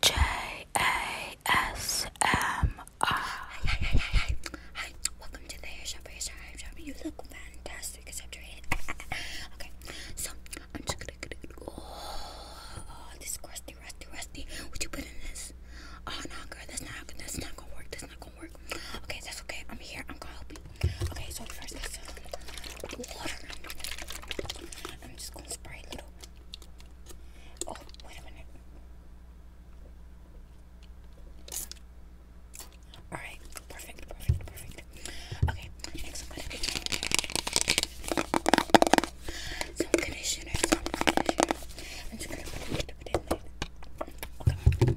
J A S M R. Hi, hi, hi, hi, hi. Hi, welcome to the hair shop. Hair shop, hair shop. You look fantastic, except your head. okay, so I'm just gonna. going oh, this crusty, rusty, rusty. Would you put in this? Oh no, girl, that's not. That's not gonna work. That's not gonna work. Okay, that's okay. I'm here. I'm gonna help you. Okay, so 1st water. I'm just spray a little. Oh, wait a minute. Alright, perfect, perfect, perfect. Okay, next I'm gonna be some conditioner, I'm just gonna put it in there. Okay.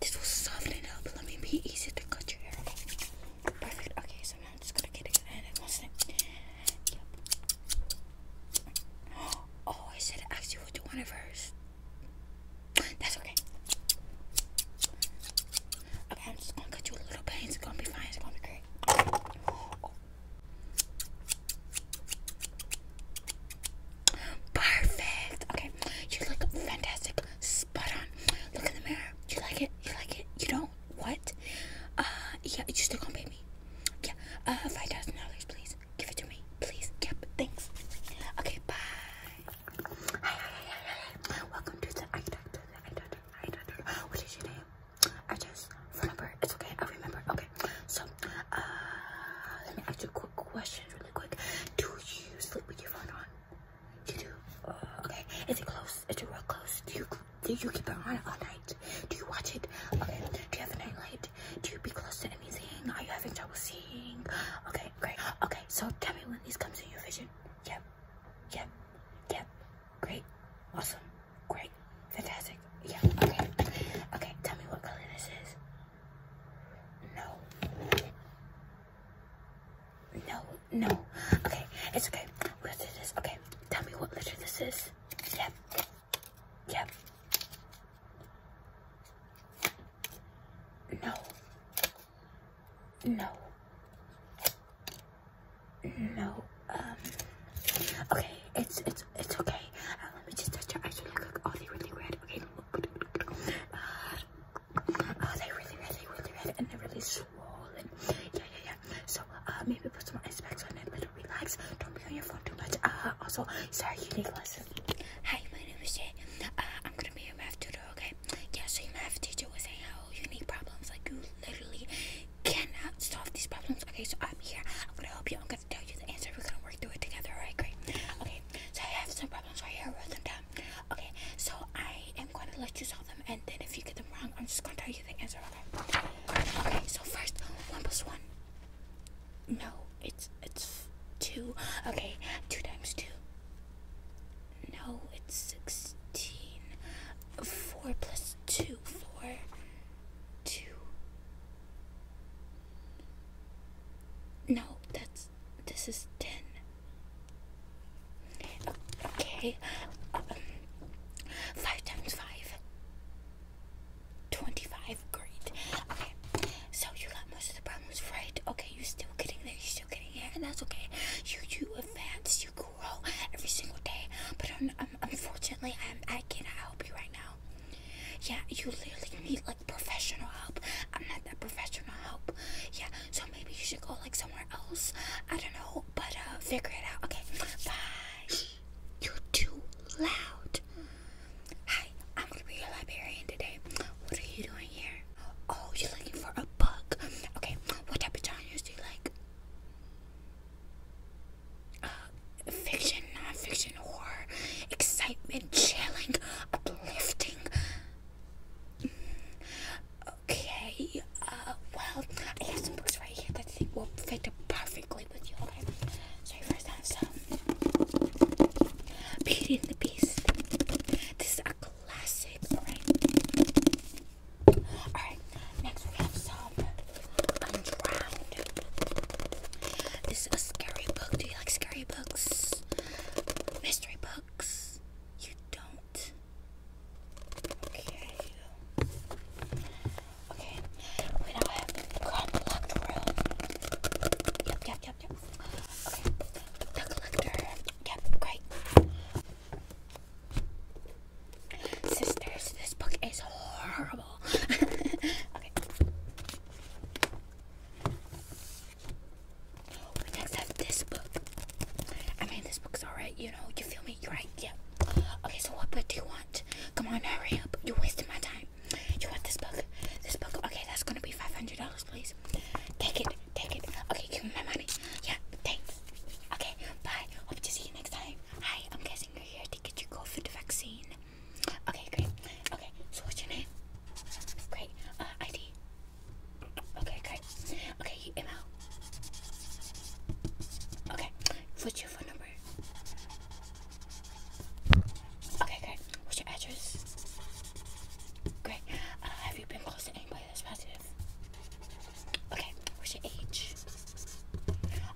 This will soften it up. Let me be easy to cut your hair Perfect. Okay, so now I'm just gonna get it and it wasn't it. Oh, I should have asked what you wanted first. That's okay. Okay, I'm just gonna cut you a little bit. It's gonna be fine. It's gonna be great. Perfect. Okay, you look fantastic spot on. Look in the mirror. You like it? You like it? You don't? What? Uh, yeah, you still gonna pay me? Yeah, uh, five thousand dollars, please. Give it to me, please. Yep, thanks. Okay, bye. Hi, hi, hi, hi, hi. Welcome to the I doctor, the eye doctor, eye doctor. What is your name? I just phone number. It's okay. I remember. Okay, so uh, let me ask you a quick question, really quick. Do you sleep with your phone on? You uh, okay. Is it close? Is it real close? Do you do you keep it on all night? Do you watch it? Okay. Do you have a night light? Do you be close to anything? Are you having trouble seeing? Okay, great. Okay, so tell me when these comes in your vision. Yep. Yep. Yep. Great. Awesome. Great. Fantastic. Yeah. Okay. Okay. Tell me what color this is. No. No, no. Okay, it's okay. We'll do this. Okay, tell me what letter this is. Yep. Yep. No. No. No. Um. Okay, it's it's it's okay. Uh, let me just touch your eyes really quick. Oh, they really red. Okay. Oh, they really really, really, really red, and they're really swollen. Yeah, yeah, yeah. So uh, maybe put some ice packs on it, let relax. Don't be on your phone too much. Uh, also, sorry, you need lesson. Hi, my name is Jay. Uh, I'm gonna be your math tutor, okay? Yeah, so your math teacher was saying how you need problems, like you literally cannot solve these problems. Okay, so I'm here. I'm gonna help you. I'm gonna tell you the answer. We're gonna work through it together. All right, great. Okay, so I have some problems right here. I them down. Okay, so I am going to let you solve them, and then if you get them wrong, I'm just going to tell you the answer. Okay. Okay. So first, one plus one. No, it's it's two. Okay, two times two. No, it's sixteen. Four plus no, that's this is ten. Okay, um, five times five. Twenty-five. Great. Okay, so you got most of the problems right. Okay, you're still getting there. You're still getting there, and that's okay. You you advance. You grow every single day. But um, unfortunately, I'm I cannot help you right now. Yeah, you literally need like professional help. I'm not that professional help. Yeah, so maybe you should go like somewhere else. I don't know, but uh, figure it out. Okay, bye. You're too loud. Hi, I'm gonna be your librarian today. What are you doing here? Oh, you're looking for a book. Okay, what type of genres do you like? uh, fiction, non-fiction, horror, excitement, chilling, uplifting. Mm, okay, uh, well, I have some books right here that I think will fit perfectly with you. Okay, so first I have some Beauty and the Beast. This is a classic, alright? Alright, Next, we have some Undrowned. This is a scary book. Do you like scary books? Mystery books? You don't? Okay. Okay. We now have Con Locked Yep, yep, yep, yep. Okay. The Collector. Yep, great. Sisters, this book is horrible. okay. next have this book. I mean, this book's alright, you know. You feel me? You're right. Yeah. Okay, so what book do you want? Come on, hurry up. You're wasting my time. You want this book? This book? Okay, that's gonna be $500, please. Take it. Take it. Okay, give me my money. Yeah, thanks. Okay, bye. Hope to see you next time. Hi, I'm guessing you're here to get your COVID vaccine. Okay, great. Okay, so what's your name? Great. Uh, ID. Okay, great. Okay, you email. Okay, what's your phone number? Okay, great. What's your address? Great. Uh, have you been close to anybody that's positive? Okay, what's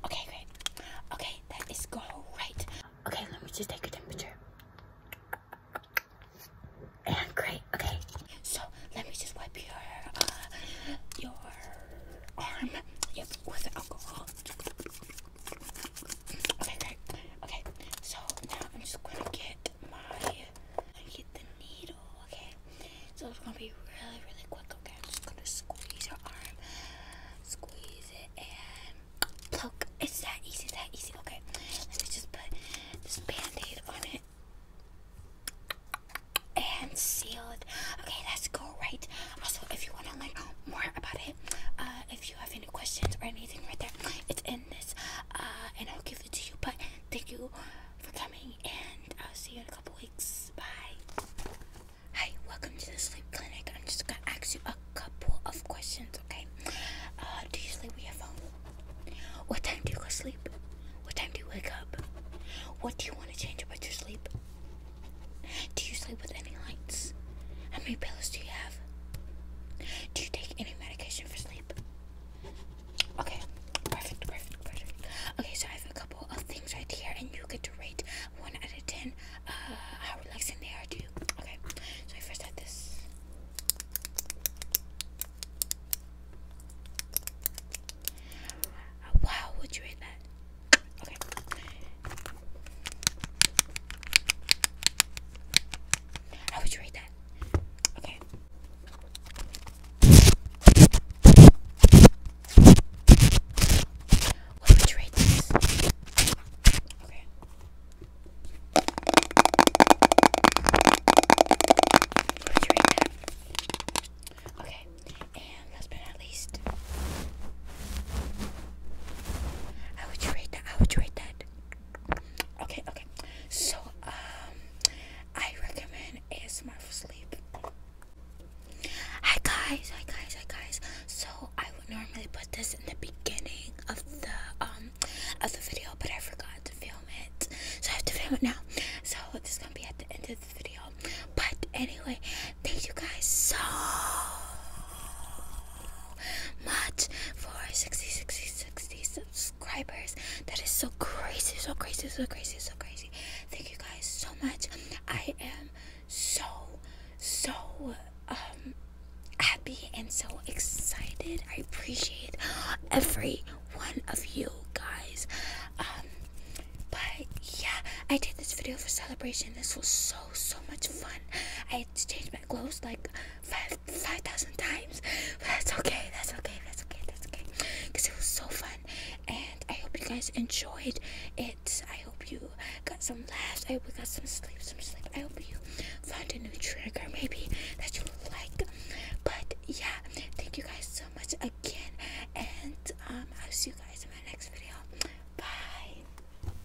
Okay, great. Okay, that is going right. Okay, let me just take your temperature. And great, okay. So let me just wipe your uh, your arm. Yep, with alcohol. Okay, great. Okay, so now I'm just gonna get my get the needle okay? So it's gonna be really, really quick, okay? I'm just gonna squeeze your arm, squeeze it, and pluck. It's that easy, that easy, okay? Let me just put this band aid on it and seal it. Okay, let's go, right? Also, if you wanna learn more about it, uh, if you have any questions or anything right there, it's in this, uh, and I'll give it to you. But thank you for coming, and I'll see you in a couple weeks. Bye. Hi, welcome to the sleep clinic. I'm just gonna ask you a couple of questions, okay? Uh, do you sleep with your phone? What time do you go to sleep? What time do you wake up? What do you want to change about your sleep? Do you sleep with any lights? How many pillows do you have? Do you take any medication for sleep? Okay, perfect, perfect, perfect. Okay, so I have a couple of things right here, and you get to rate one out of ten uh, how relaxing they are to you. Okay, so I first have this. Uh, wow, would you rate that? Okay. How would you rate that? Okay. What would you rate this? Okay. What would you rate that? Okay. And last but not least, how would you that? How would you that? Okay, okay. So, um, I recommend ASMR for sleep. Hi guys, hi guys, hi guys. So I would normally put this in the beginning of the um of the video, but I forgot to film it, so I have to film it now. So this is gonna be at the end of the video. But anyway, thank you guys so much for 60, 60, 60 subscribers. That is so crazy, so crazy, so crazy, so crazy. Thank you guys so much. I am so, so um, happy and so excited. I appreciate every one of you guys. Um, but yeah, I did this video for celebration. This was so, so much fun. I had to change my Close like five thousand times. that's okay. That's okay. That's okay. That's okay. Cause it was so fun, and I hope you guys enjoyed it. I hope you got some laughs. I hope you got some sleep. Some sleep. I hope you find a new trigger maybe that you like. But yeah, thank you guys so much again, and um, I'll see you guys in my next video. Bye.